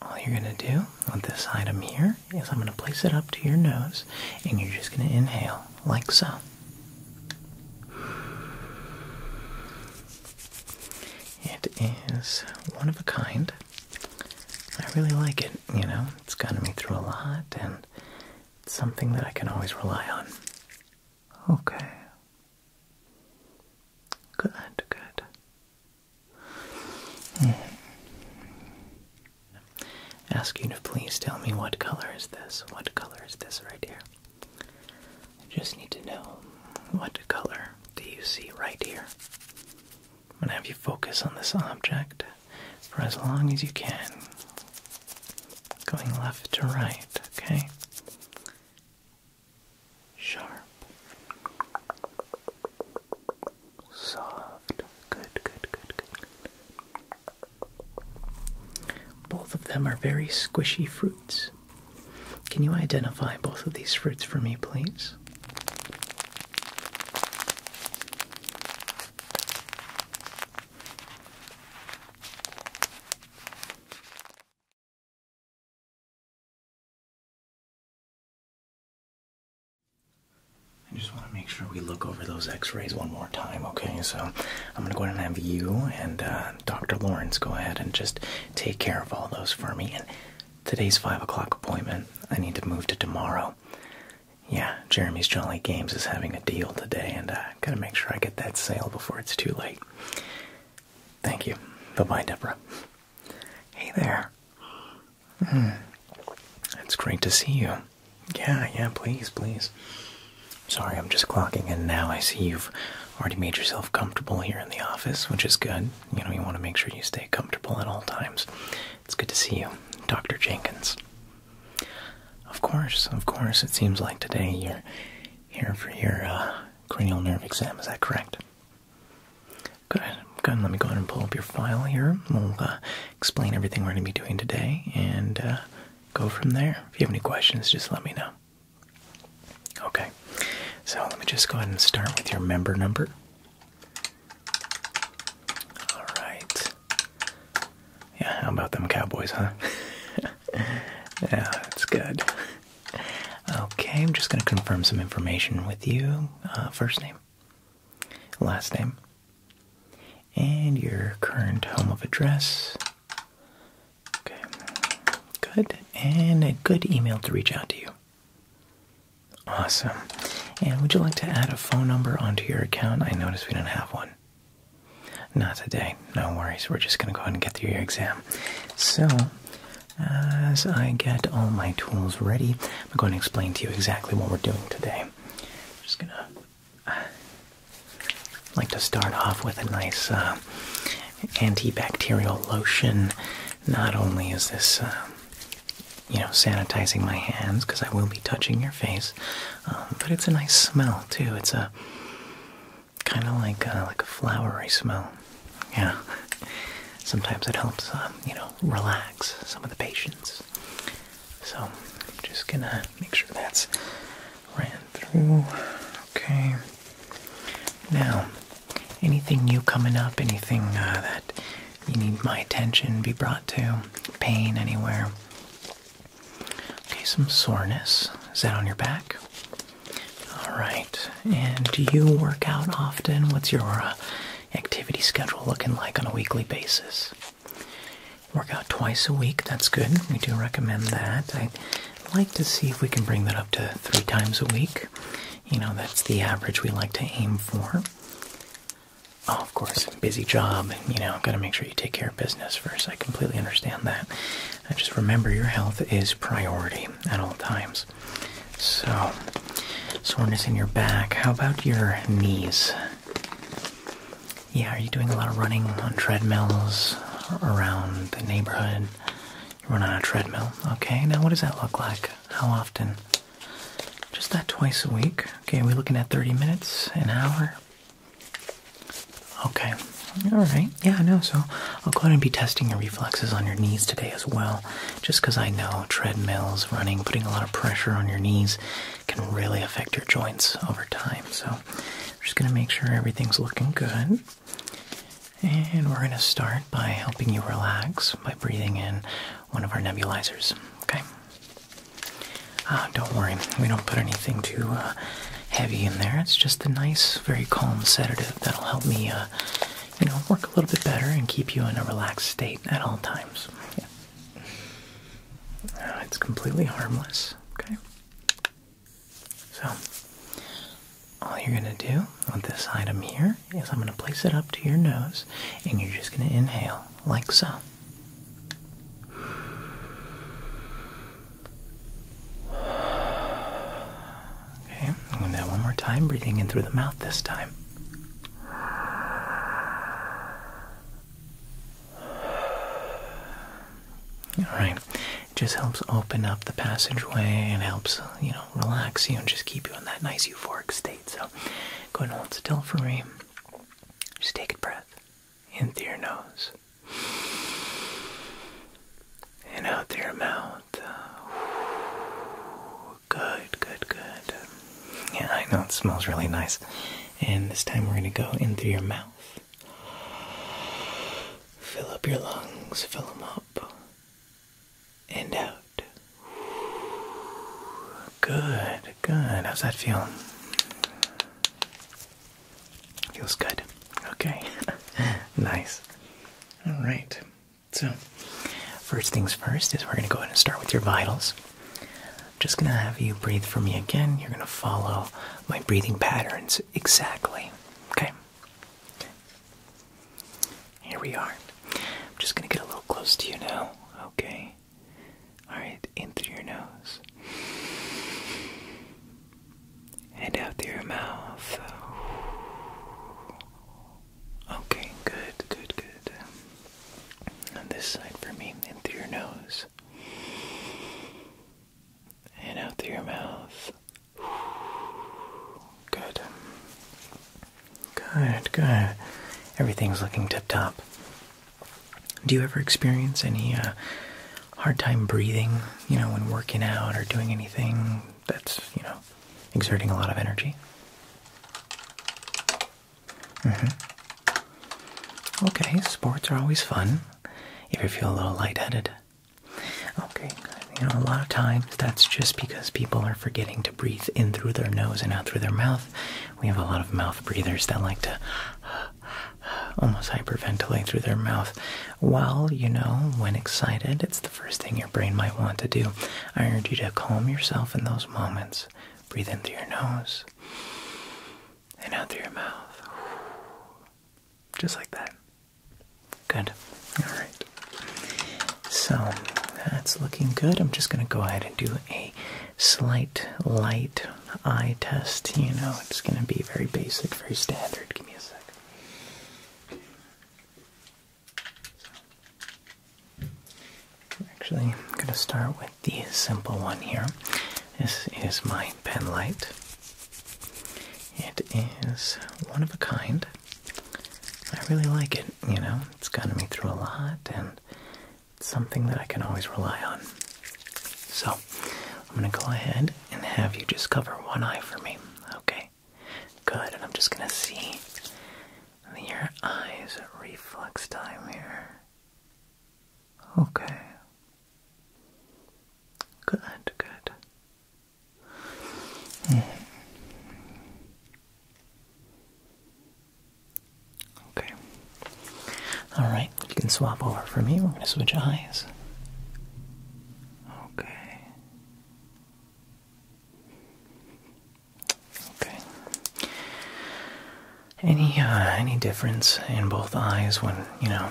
All you're going to do with this item here is I'm going to place it up to your nose and you're just going to inhale like so. It is one of a kind. I really like it, you know, it's gotten me through a lot and it's something that I can always rely on. Okay. Good, good. Hmm. Ask you to please tell me what color is this? What color is this right here? I just need to know what color do you see right here? I'm going to have you focus on this object for as long as you can, going left to right, okay? sharp, soft. Good, good, good, good. Both of them are very squishy fruits. Can you identify both of these fruits for me, please? I just want to make sure we look over those x-rays one more time, okay? So I'm going to go ahead and have you and uh, Dr. Lawrence go ahead and just take care of all those for me. And today's 5 o'clock appointment, I need to move to tomorrow. Yeah, Jeremy's Jolly Games is having a deal today, and i got to make sure I get that sale before it's too late. Thank you. Bye-bye, Deborah. Hey there. Hmm. It's great to see you. Yeah, yeah, please, please. Sorry, I'm just clocking in now. I see you've already made yourself comfortable here in the office, which is good. You know, you want to make sure you stay comfortable at all times. It's good to see you, Dr. Jenkins. Of course, of course. It seems like today you're here for your uh, cranial nerve exam. Is that correct? Good, good. Let me go ahead and pull up your file here. We'll uh, explain everything we're going to be doing today and uh, go from there. If you have any questions, just let me know. Okay, so let me just go ahead and start with your member number. All right. Yeah, how about them cowboys, huh? yeah, that's good. Okay, I'm just going to confirm some information with you. Uh, first name, last name, and your current home of address. Okay, good. And a good email to reach out to you. Awesome. And would you like to add a phone number onto your account? I notice we don't have one. Not today. No worries. We're just going to go ahead and get through your exam. So, as I get all my tools ready, I'm going to explain to you exactly what we're doing today. I'm just gonna uh, like to start off with a nice uh, antibacterial lotion. Not only is this, uh, you know, sanitizing my hands because I will be touching your face, um, but it's a nice smell too. It's a kind of like a, like a flowery smell. Yeah. Sometimes it helps, um, you know, relax some of the patients. So, I'm just gonna make sure that's ran through. Okay. Now, anything new coming up? Anything uh, that you need my attention be brought to? Pain anywhere? Okay, some soreness. Is that on your back? All right. And do you work out often? What's your uh, activity schedule looking like on a weekly basis? Work out twice a week. That's good. We do recommend that. I'd like to see if we can bring that up to three times a week. You know, that's the average we like to aim for. Oh, of course, busy job. You know, got to make sure you take care of business first. I completely understand that. I just remember your health is priority at all times this. So, soreness in your back. How about your knees? Yeah, are you doing a lot of running on treadmills around the neighborhood? You run on a treadmill. Okay, now what does that look like? How often? Just that twice a week. Okay, are we looking at 30 minutes, an hour? Okay, all right. Yeah, I know. So I'll go ahead and be testing your reflexes on your knees today as well, just because I know treadmills, running, putting a lot of pressure on your knees can really affect your joints over time. So just going to make sure everything's looking good. And we're going to start by helping you relax by breathing in one of our nebulizers. Okay? Ah, don't worry, we don't put anything too uh, heavy in there. It's just a nice, very calm sedative that'll help me uh, you know, work a little bit better and keep you in a relaxed state at all times. it's completely harmless, okay? So, all you're going to do with this item here is I'm going to place it up to your nose and you're just going to inhale like so. Okay, I'm one more time, breathing in through the mouth this time. All right, just helps open up the passageway and helps, you know, relax you and just keep you in that nice euphoric state. So go ahead and hold still for me. Just take a breath in through your nose and out their mouth. Uh, good, good, good. Yeah, I know it smells really nice. And this time we're going to go in through your mouth. Fill up your lungs, fill them up. And out. Good, good. How's that feeling? Feels good. Okay. nice. All right. So, first things first is we're going to go ahead and start with your vitals. I'm just going to have you breathe for me again. You're going to follow my breathing patterns exactly. Okay? okay. Here we are. I'm just going to get a little close to you now. Okay. Alright, in through your nose. And out through your mouth. Okay, good, good, good. On this side for me, in through your nose. And out through your mouth. Good. Good, good. Everything's looking tip top. Do you ever experience any uh, hard time breathing, you know, when working out or doing anything that's, you know, exerting a lot of energy. Mm-hmm. Okay, sports are always fun if you feel a little lightheaded. Okay, you know, a lot of times that's just because people are forgetting to breathe in through their nose and out through their mouth. We have a lot of mouth breathers that like to almost hyperventilate through their mouth. Well, you know, when excited, it's the first thing your brain might want to do. I urge you to calm yourself in those moments. Breathe in through your nose and out through your mouth. Just like that. Good. All right. So that's looking good. I'm just going to go ahead and do a slight light eye test. You know, it's going to be very basic, very standard. Give me a second. Actually, I'm going to start with the simple one here. This is my pen light. It is one of a kind. I really like it, you know, it's gotten me through a lot and it's something that I can always rely on. So, I'm going to go ahead and have you just cover one eye for me, okay? Good, and I'm just gonna see your eyes reflex time here. Okay. Good, good. Mm-hmm. Okay. Alright, you can swap over for me. We're going to switch eyes. Okay. Okay. Any uh, any difference in both eyes when you know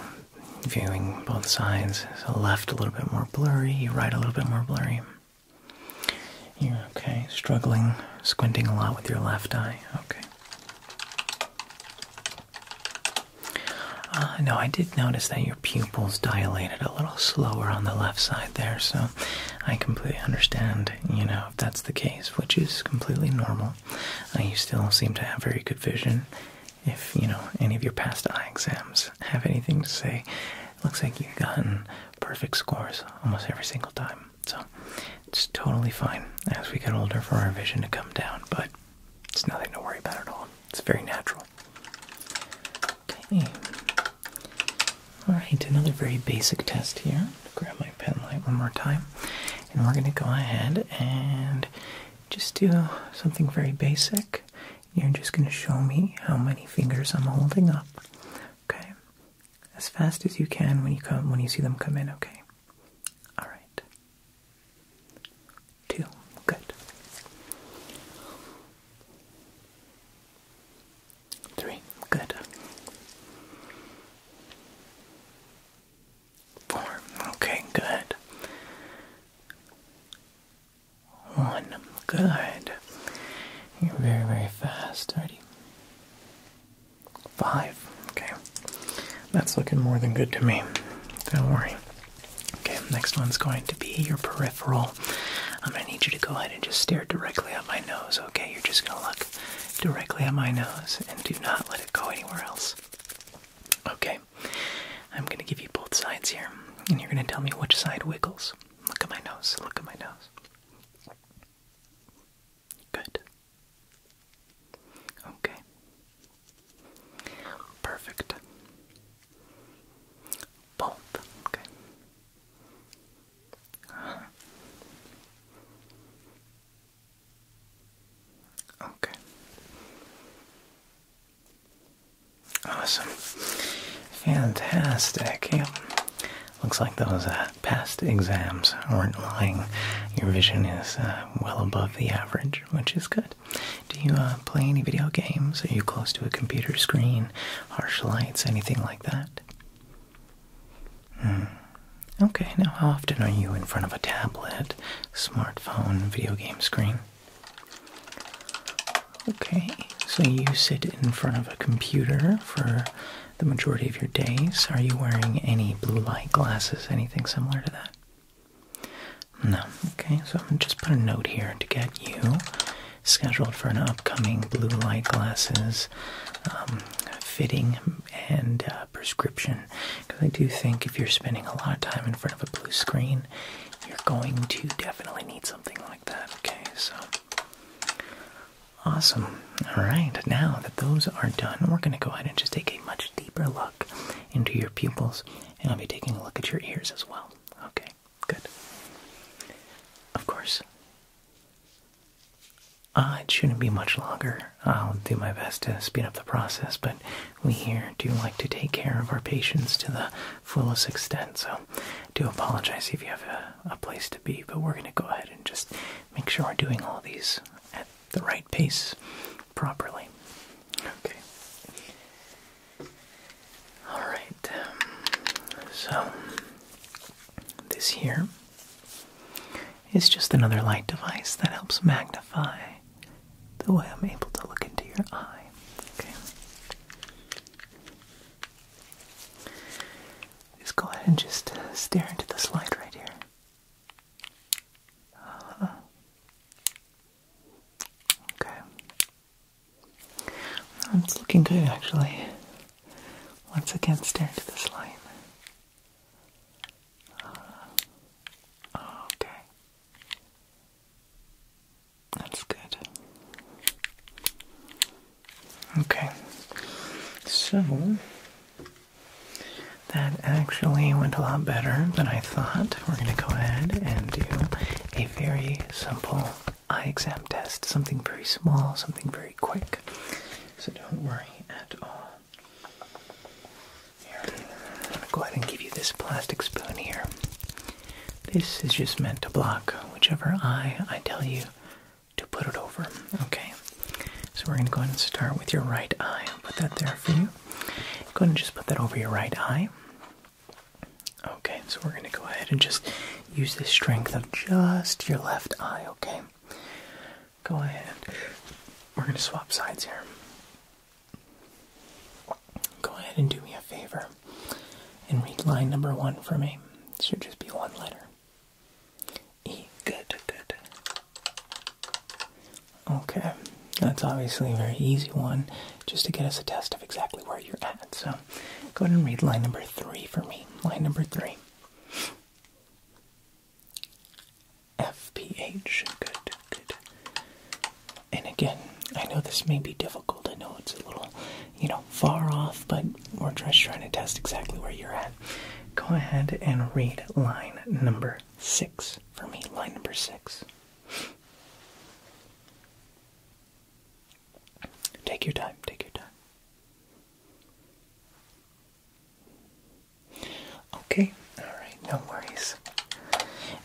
viewing both sides? So left a little bit more blurry, right a little bit more blurry. You're okay. Struggling, squinting a lot with your left eye. Okay. Uh, no, I did notice that you pupils dilated a little slower on the left side there, so I completely understand, you know, if that's the case, which is completely normal. Uh, you still seem to have very good vision. If, you know, any of your past eye exams have anything to say, looks like you've gotten perfect scores almost every single time. So it's totally fine as we get older for our vision to come down, but it's nothing to worry about at all. It's very natural. Okay. Alright, another very basic test here. Grab my pen light one more time. And we're going to go ahead and just do something very basic. You're just going to show me how many fingers I'm holding up. Okay? As fast as you can when you come when you see them come in, okay? All right. Two. Good. Three. Good. Four. Okay, good. One. Good. You're very, very fast. already. Five. Okay. That's looking more than good to me. Don't worry. Okay, next one's going to be your peripheral. I'm going to need you to go ahead and just stare directly at my nose, okay? You're just going to look directly at my nose and do not let it go anywhere else. Okay, I'm going to give you both sides here, and you're going to tell me which side wiggles. Look at my nose, look at my nose. Good. Okay. Perfect. Both. Okay. Okay. Awesome. Fantastic. Yep. Looks like those uh, past exams were not lying. Your vision is uh, well above the average, which is good. Do you uh, play any video games? Are you close to a computer screen? Harsh lights? Anything like that? Hmm. Okay, now how often are you in front of a tablet, smartphone, video game screen? Okay, so you sit in front of a computer for the majority of your days. Are you wearing any blue light glasses, anything similar to that? No. Okay, so I'm just put a note here to get you scheduled for an upcoming blue light glasses um, fitting and uh, prescription. Because I do think if you're spending a lot of time in front of a blue screen, you're going to definitely need something like that. Okay, so awesome. All right, now that those are done, we're going to go ahead and just take a much deeper look into your pupils, and I'll be taking a look at your ears as well. Okay good. Of course. Uh, it shouldn't be much longer. I'll do my best to speed up the process, but we here do like to take care of our patients to the fullest extent, so do apologize if you have a, a place to be, but we're going to go ahead and just make sure we're doing all these at the right pace properly. Okay. Alright, um, so this here is just another light device that helps magnify the way I'm able to look into your eye. Okay. Just go ahead and just stare into this light right here. Uh-huh. Okay. Oh, it's looking good actually. Once again, stare into this line. Uh, okay. That's good. Okay. So, that actually went a lot better than I thought. We're going to go ahead and do a very simple eye exam test, something very small, something very quick. So don't worry at all. Here, I'm going to go ahead and give you this plastic spoon here. This is just meant to block whichever eye I tell you to put it over, okay? So we're going to go ahead and start with your right eye. I'll put that there for you. Go ahead and just put that over your right eye. Okay, so we're going to go ahead and just use the strength of just your left eye, okay? Go ahead. We're going to swap sides here. Go ahead and do me a favor and read line number one for me. should just be one letter. E. Good, good. Okay, that's obviously a very easy one, just to get us a test of exactly where you're at. So go ahead and read line number three for me. Line number three. FPH. Good, good. And again, I know this may be difficult. I know it's a little, you know, far off, but we're just trying to test exactly where you're at. Go ahead and read line number six for me. Line number six. Take your time, take your time. Okay, alright, no worries.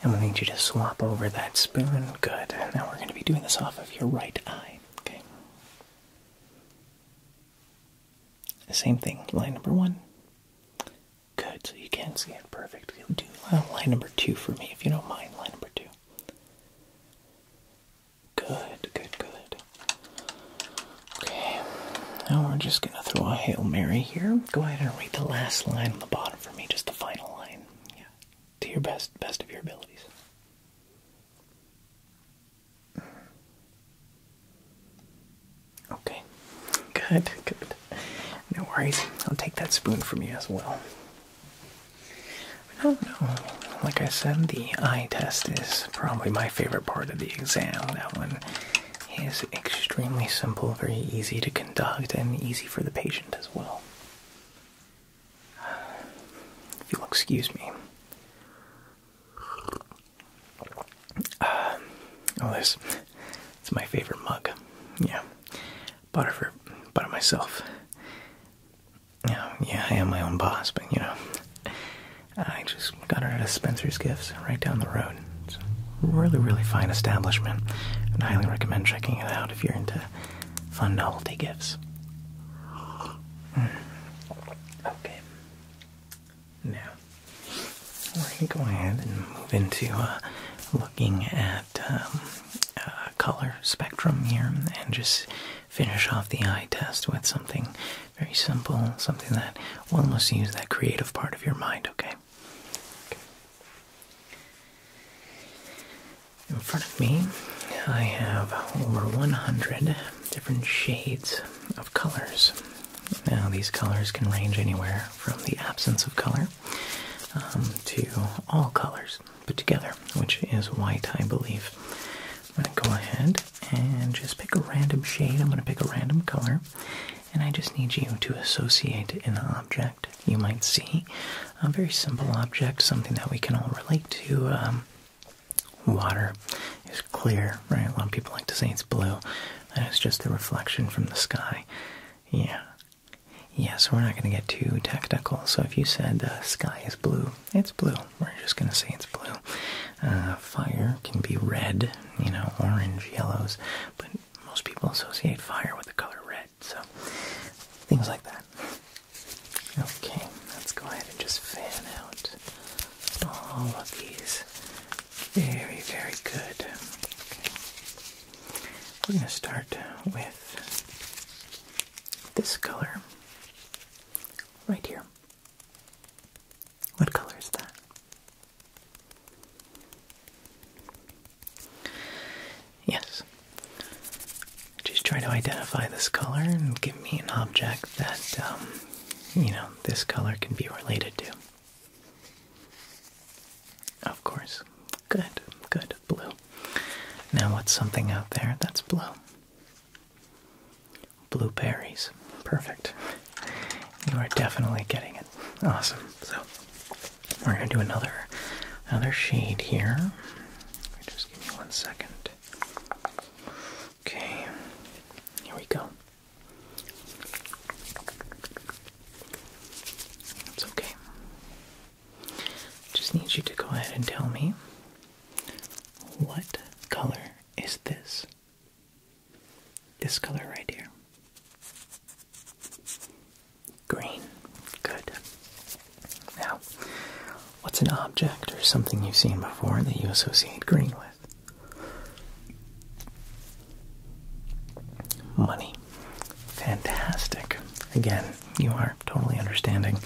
And we'll need you to swap over that spoon. Good. Now we're going to be doing this off of your right eye. Okay. Same thing, line number one. Good, so you can see it perfect. line number two for me, if you don't mind. Line number two. Good, good, good. Okay, now we're just gonna throw a Hail Mary here. Go ahead and read the last line on the bottom for me, just the final line. Yeah, to your best, best of your abilities. Okay, good, good. No worries. I'll take that spoon from you as well. I do Like I said, the eye test is probably my favorite part of the exam. That one is extremely simple, very easy to conduct, and easy for the patient as well. you'll excuse me. Uh, oh, this. It's my favorite mug. Yeah bought it for bought myself. You yeah, I am my own boss, but you know, I just got it at Spencer's Gifts right down the road. It's a really, really fine establishment, I highly recommend checking it out if you're into fun novelty gifts. Hmm. Okay, now we're gonna go ahead and move into uh, looking at um, uh, color spectrum here and just finish off the eye test with something very simple, something that will almost use that creative part of your mind, okay. In front of me, I have over 100 different shades of colors. Now, these colors can range anywhere from the absence of color um, to all colors put together, which is white, I believe. I'm going to go ahead and just pick a random shade. I'm going to pick a random color, and I just need you to associate an object you might see. A very simple object, something that we can all relate to. Um, water is clear, right? A lot of people like to say it's blue. it's just the reflection from the sky. Yeah, Yes, we're not going to get too technical. So if you said the sky is blue, it's blue. We're just going to say it's blue. Uh, fire can be red, you know, orange, yellows, but most people associate fire with the color red. So things like that. Okay, let's go ahead and just fan out all of these. Very, very good. We're going to start with this color right here. What color is that? Yes. Just try to identify this color and give me an object that, um, you know, this color can be related to. Of course, Good, good, blue. Now, what's something out there that's blue? Blueberries. Perfect. You are definitely getting it. Awesome. So we're gonna do another another shade here. Just give me one second. Okay, here we go. That's okay. Just need you to go ahead and tell me what color is this? This color right here. Green. Good. Now, what's an object or something you've seen before that you associate green with? Money. Fantastic. Again, you are totally understanding.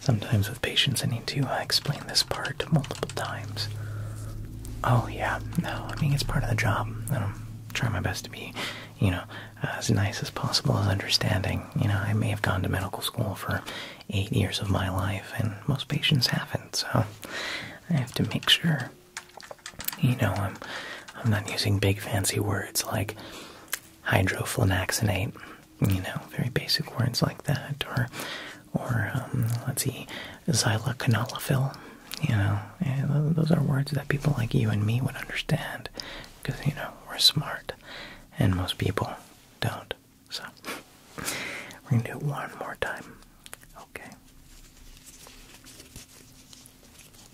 Sometimes with patients, I need to uh, explain this part multiple times. Oh, yeah, no, I mean, it's part of the job. I'm trying my best to be, you know, as nice as possible as understanding. You know, I may have gone to medical school for eight years of my life, and most patients haven't, so I have to make sure you know, I'm I'm not using big fancy words like hydroflanaxinate. You know, very basic words like that, or or um, let's see, xyloconolophil. You know, those are words that people like you and me would understand, because you know we're smart, and most people don't. So we're gonna do it one more time. Okay.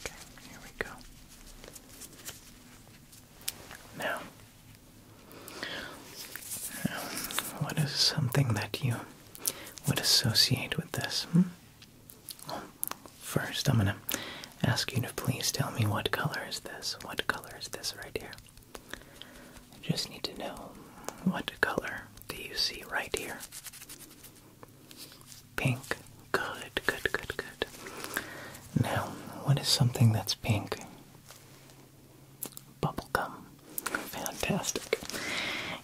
Okay, here we go. Now, um, what is something that you would associate with this? Hmm? first, I'm gonna ask you to please tell me what color is this? What color is this right here? I just need to know what color do you see right here? Pink. Good, good, good, good. Now, what is something that's pink? Bubblegum. Fantastic.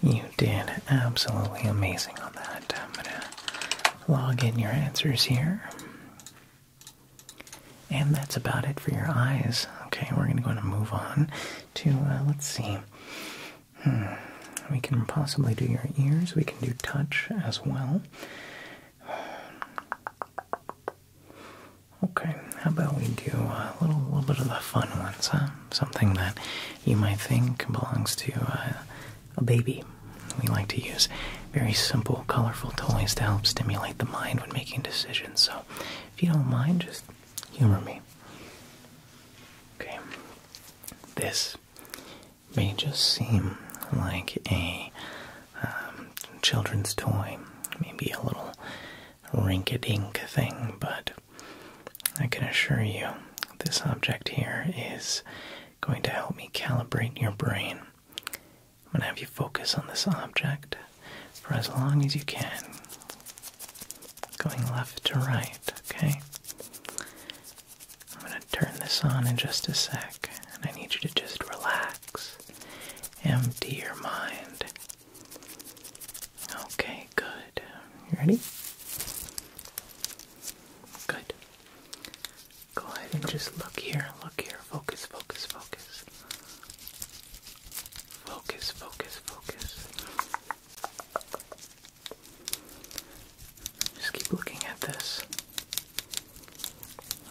You did absolutely amazing on that. I'm gonna log in your answers here. And that's about it for your eyes. Okay, we're gonna go and move on to, uh, let's see. Hmm. We can possibly do your ears. We can do touch as well. Okay, how about we do a little, little bit of the fun ones, huh? Something that you might think belongs to uh, a baby. We like to use very simple, colorful toys to help stimulate the mind when making decisions. So, if you don't mind, just humor me. Okay, this may just seem like a um, children's toy, maybe a little rink-a-dink thing, but I can assure you this object here is going to help me calibrate your brain. I'm going to have you focus on this object for as long as you can, going left to right, okay? I'm going to turn this on in just a sec, and I need you to just relax. Empty your mind. Okay, good. You ready? Good. Go ahead and just look here, look here. Focus, focus, focus. Focus, focus, focus. Just keep looking at this.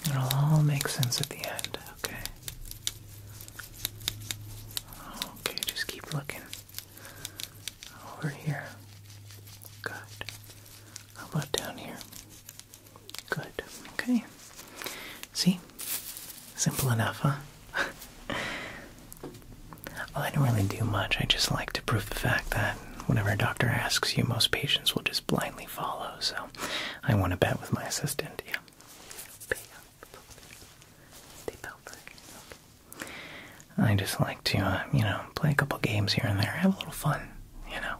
It'll all make sense at the end, okay? Okay, just keep looking. Over here. Good. How about down here? Good. Okay. See? Simple enough, huh? I don't really do much. I just like to prove the fact that whenever a doctor asks you, most patients will just blindly follow. So I want to bet with my assistant. Yeah. I just like to, uh, you know, play a couple games here and there, have a little fun, you know.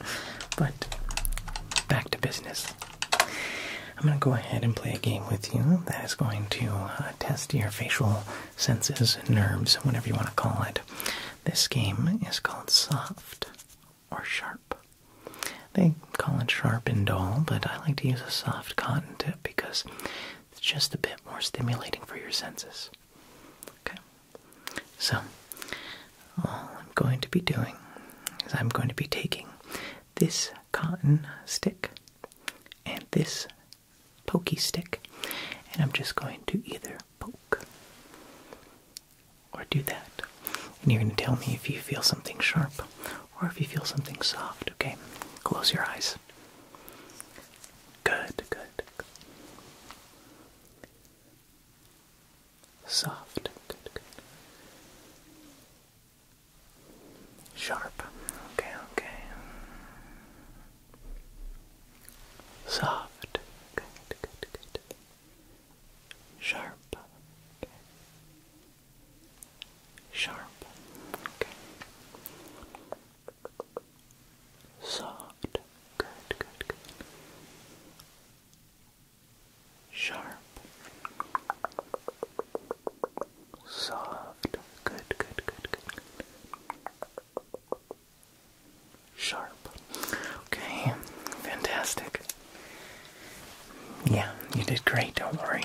but back to business. I'm going to go ahead and play a game with you that is going to uh, test your facial senses, nerves, whatever you want to call it. This game is called soft or sharp. They call it sharp and dull, but I like to use a soft cotton tip because it's just a bit more stimulating for your senses. Okay? So, all I'm going to be doing is I'm going to be taking this cotton stick and this pokey stick, and I'm just going to either poke or do that. And you're going to tell me if you feel something sharp or if you feel something soft, okay? Close your eyes. Good, good. Soft, good, good. Sharp. Okay, okay. Soft. Good, good, good. Sharp. Okay. Sharp. Okay. Soft. Good, good, good. Sharp. Soft. Good, good, good, good. Sharp. Okay, fantastic. Yeah, you did great, don't worry.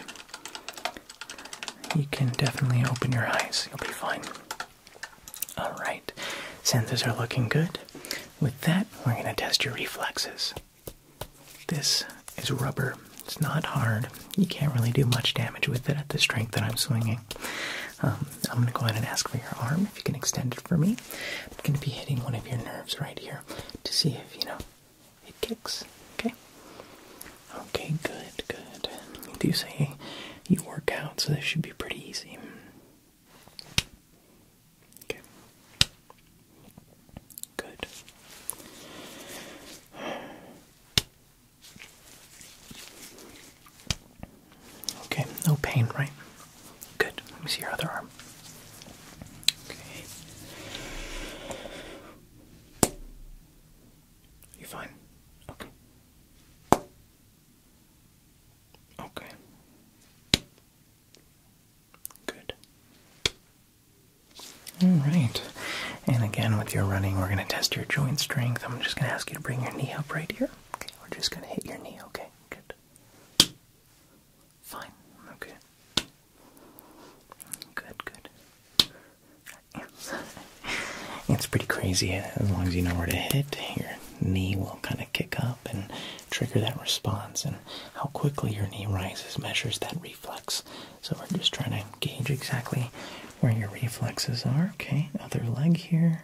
You can definitely open your eyes, you'll be fine. Alright, senses are looking good. With that, we're going to test your reflexes. This is rubber, it's not hard, you can't really do much damage with it at the strength that I'm swinging. Um, I'm going to go ahead and ask for your arm if you can extend it for me. I'm going to be hitting one of your nerves right here to see if, you know, it kicks. Okay? Okay, good, good. You do say you work out, so this should be pretty easy. Okay. Good. Okay, no pain, right? Good. Let me see your other arm. Okay. You fine? Okay. Okay. Good. All right. And again, with your running, we're going to test your joint strength. I'm just going to ask you to bring your knee up right here. Okay, we're just going to hit your knee, okay? Good. Fine, okay. Good, good. it's pretty crazy. As long as you know where to hit, your knee will kind of kick up and trigger that response. And how quickly your knee rises measures that reflex. So we're just trying to gauge exactly where your reflexes are. Okay, other leg here.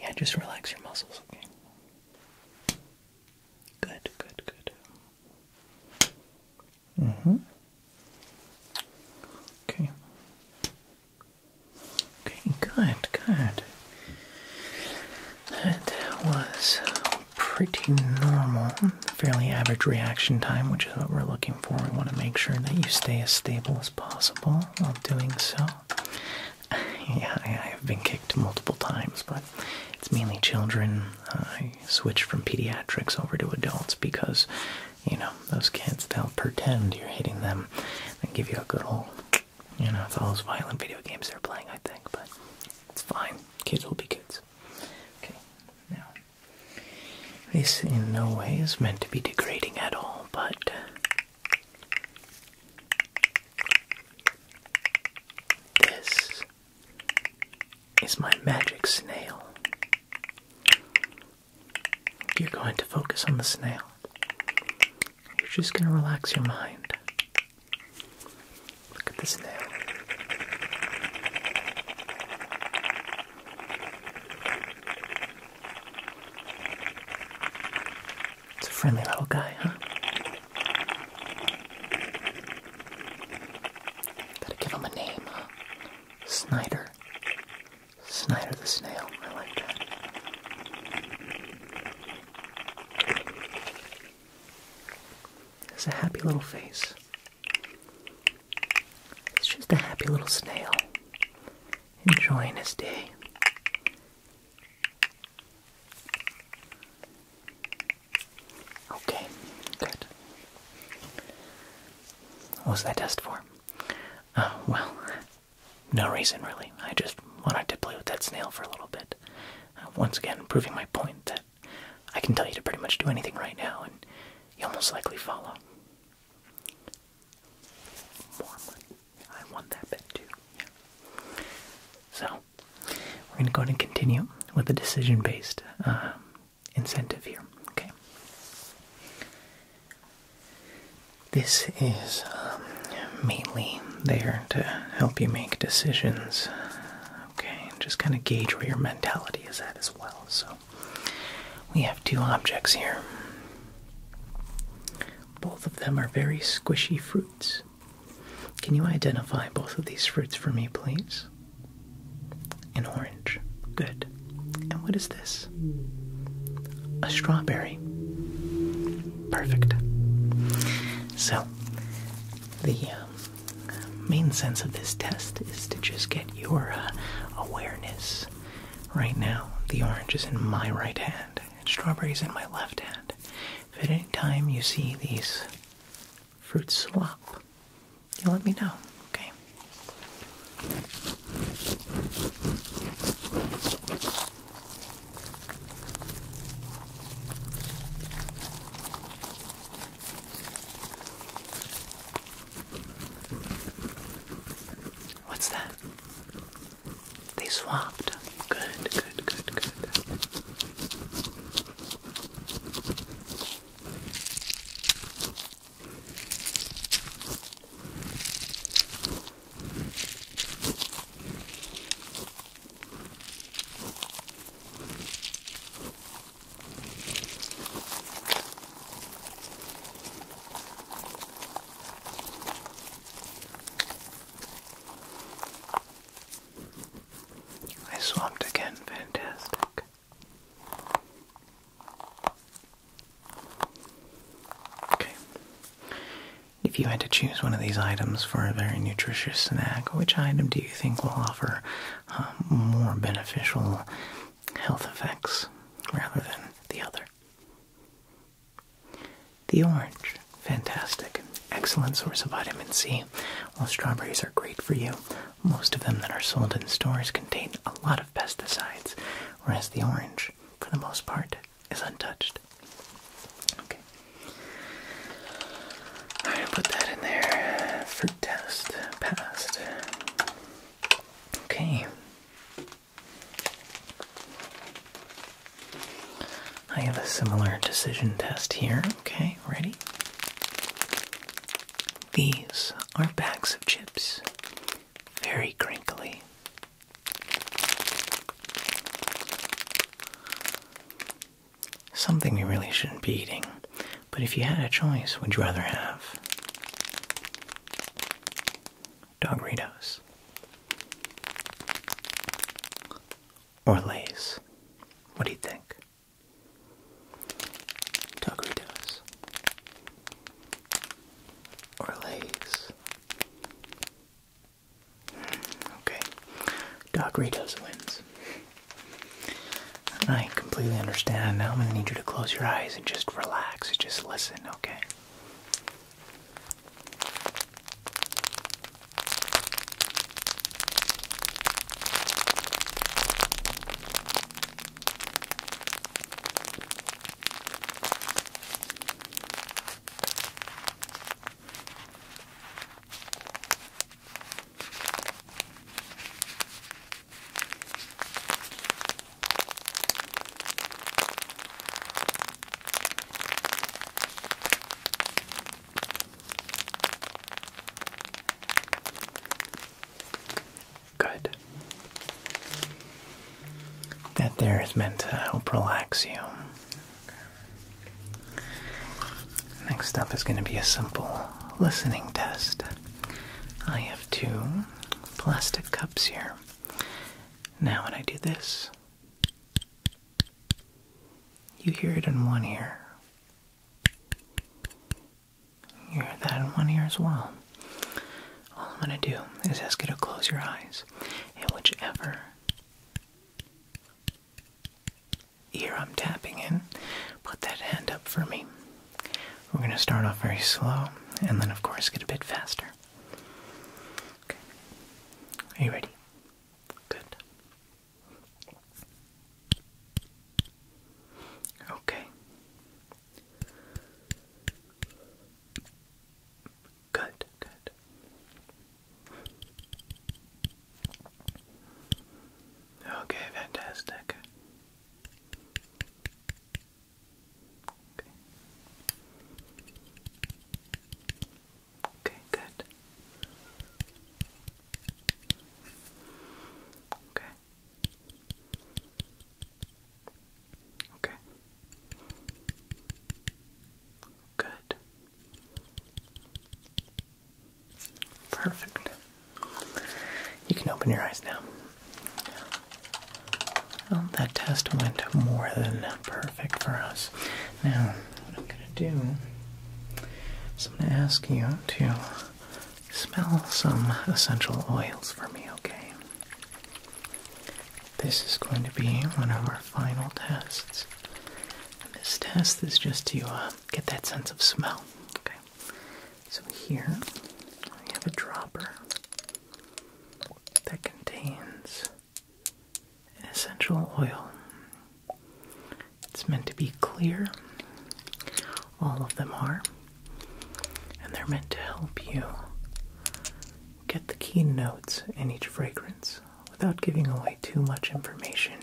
Yeah, just relax your muscles. Okay. Good, good, good. Mm-hmm. Okay. Okay, good, good. That was pretty normal, fairly average reaction time, which what we're looking for. We want to make sure that you stay as stable as possible while doing so. yeah, I have been kicked multiple times, but it's mainly children. I switched from pediatrics over to adults because, you know, those kids, they'll pretend you're hitting them and give you a good old, you know, it's all those violent video games they're playing, I think, but it's fine. Kids will be kids. Okay, now this in no way is meant to be degrading at all, but this is my magic snail. You're going to focus on the snail. You're just going to relax your mind. Look at the snail. It's a friendly little guy, huh? got give him a name, Snyder. Snyder the snail. I like that. It's a happy little face. It's just a happy little snail, enjoying his day. Okay, good. What was that test for? Uh, well, no reason really. I just wanted to play with that snail for a little bit. Uh, once again, proving my point that I can tell you to pretty much do anything right now and you will most likely follow. More I want that bet too. Yeah. So, we're going to go and continue with the decision based um, incentive here. Okay. This is um, mainly there to help you make decisions. Okay, just kind of gauge where your mentality is at as well. So, we have two objects here. Both of them are very squishy fruits. Can you identify both of these fruits for me, please? An orange. Good. And what is this? A strawberry. Perfect. So, the uh, main sense of this test is to just get your uh, awareness Right now, the orange is in my right hand and strawberry is in my left hand. If at any time you see these fruits swap, you let me know, okay? What's that? They swapped. Good, good, good, good. I swamped again, fantastic. Okay. If you had to choose one of these items for a very nutritious snack, which item do you think will offer um, more beneficial health effects rather than the other. The orange, fantastic, excellent source of vitamin C. While strawberries are great for you, most of them that are sold in stores contain a lot of pesticides, whereas the orange, for the most part, is untouched. Okay. Alright, put that in there. Fruit test passed. Okay. I have a similar decision test here. Okay, ready? These are bags of chips. Very crinkly. Something you really shouldn't be eating. But if you had a choice, would you rather have Dogritos or Lay's? What do you think? Dogritos or Lay's? Hmm, okay, Doritos wins. I completely understand. Now I'm going to need you to close your eyes and just relax just listen, okay? Good. That there is meant to help relax you. Next up is going to be a simple listening test. I have two plastic cups here. Now, when I do this, you hear it in one ear. You hear that in one ear as well. All I'm going to do is ask you to close your eyes, and whichever ear I'm tapping in, put that hand up for me. We're going to start off very slow and then, of course, get a bit faster. Okay. Are you ready? Good. Okay. Good, good. Okay, fantastic. Okay. Okay, good. Okay. Okay. Good. Perfect. You can open your eyes now. Well, that test went more than perfect for us. Now, what I'm going to do is I'm going to ask you to smell some essential oils for me, okay? This is going to be one of our final tests. this test is just to uh, get that sense of smell, okay? So here we have a dropper that contains essential oil. It's meant to be clear. All of them are. And they're meant to help you get the key notes in each fragrance without giving away too much information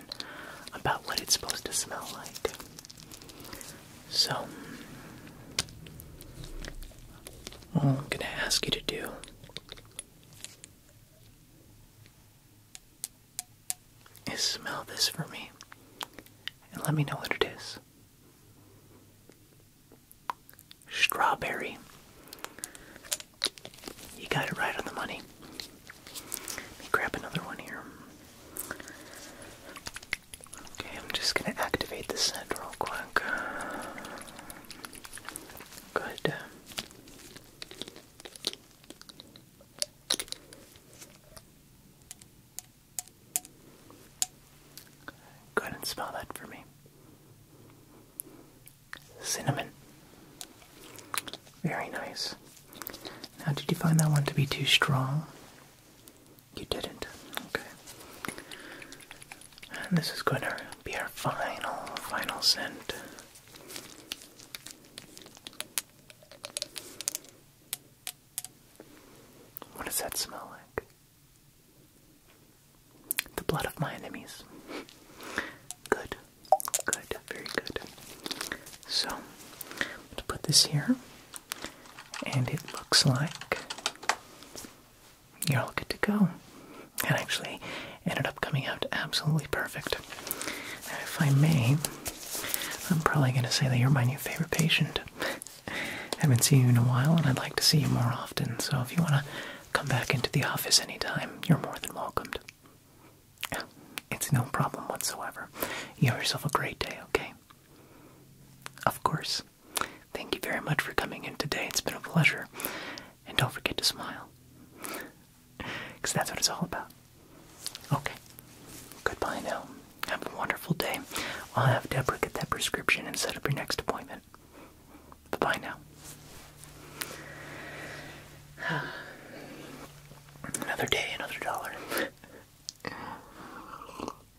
about what it's supposed to smell like. So, all I'm going to ask you to do is smell this for me and let me know what it is. Strawberry. You got it right on the money. Let me grab another one here. Okay, I'm just gonna activate the scent real quick. Good. Go ahead and smell that for me. Cinnamon. Very nice. Now, did you find that one to be too strong? You didn't. Okay. And this is going to be our final, final scent. What does that smell like? The blood of my enemies. Good. Good. Very good. So, to put this here and it looks like you're all good to go. It actually ended up coming out absolutely perfect. Now, if I may, I'm probably going to say that you're my new favorite patient. I haven't seen you in a while, and I'd like to see you more often, so if you want to come back into the office anytime, you're more than welcomed. It's no problem whatsoever. You have yourself a great day, okay? Of course. Thank you very much for coming in today. It's been a pleasure. And don't forget to smile. Because that's what it's all about. Okay. Goodbye now. Have a wonderful day. I'll have Deborah get that prescription and set up your next appointment. Bye bye now. another day, another dollar.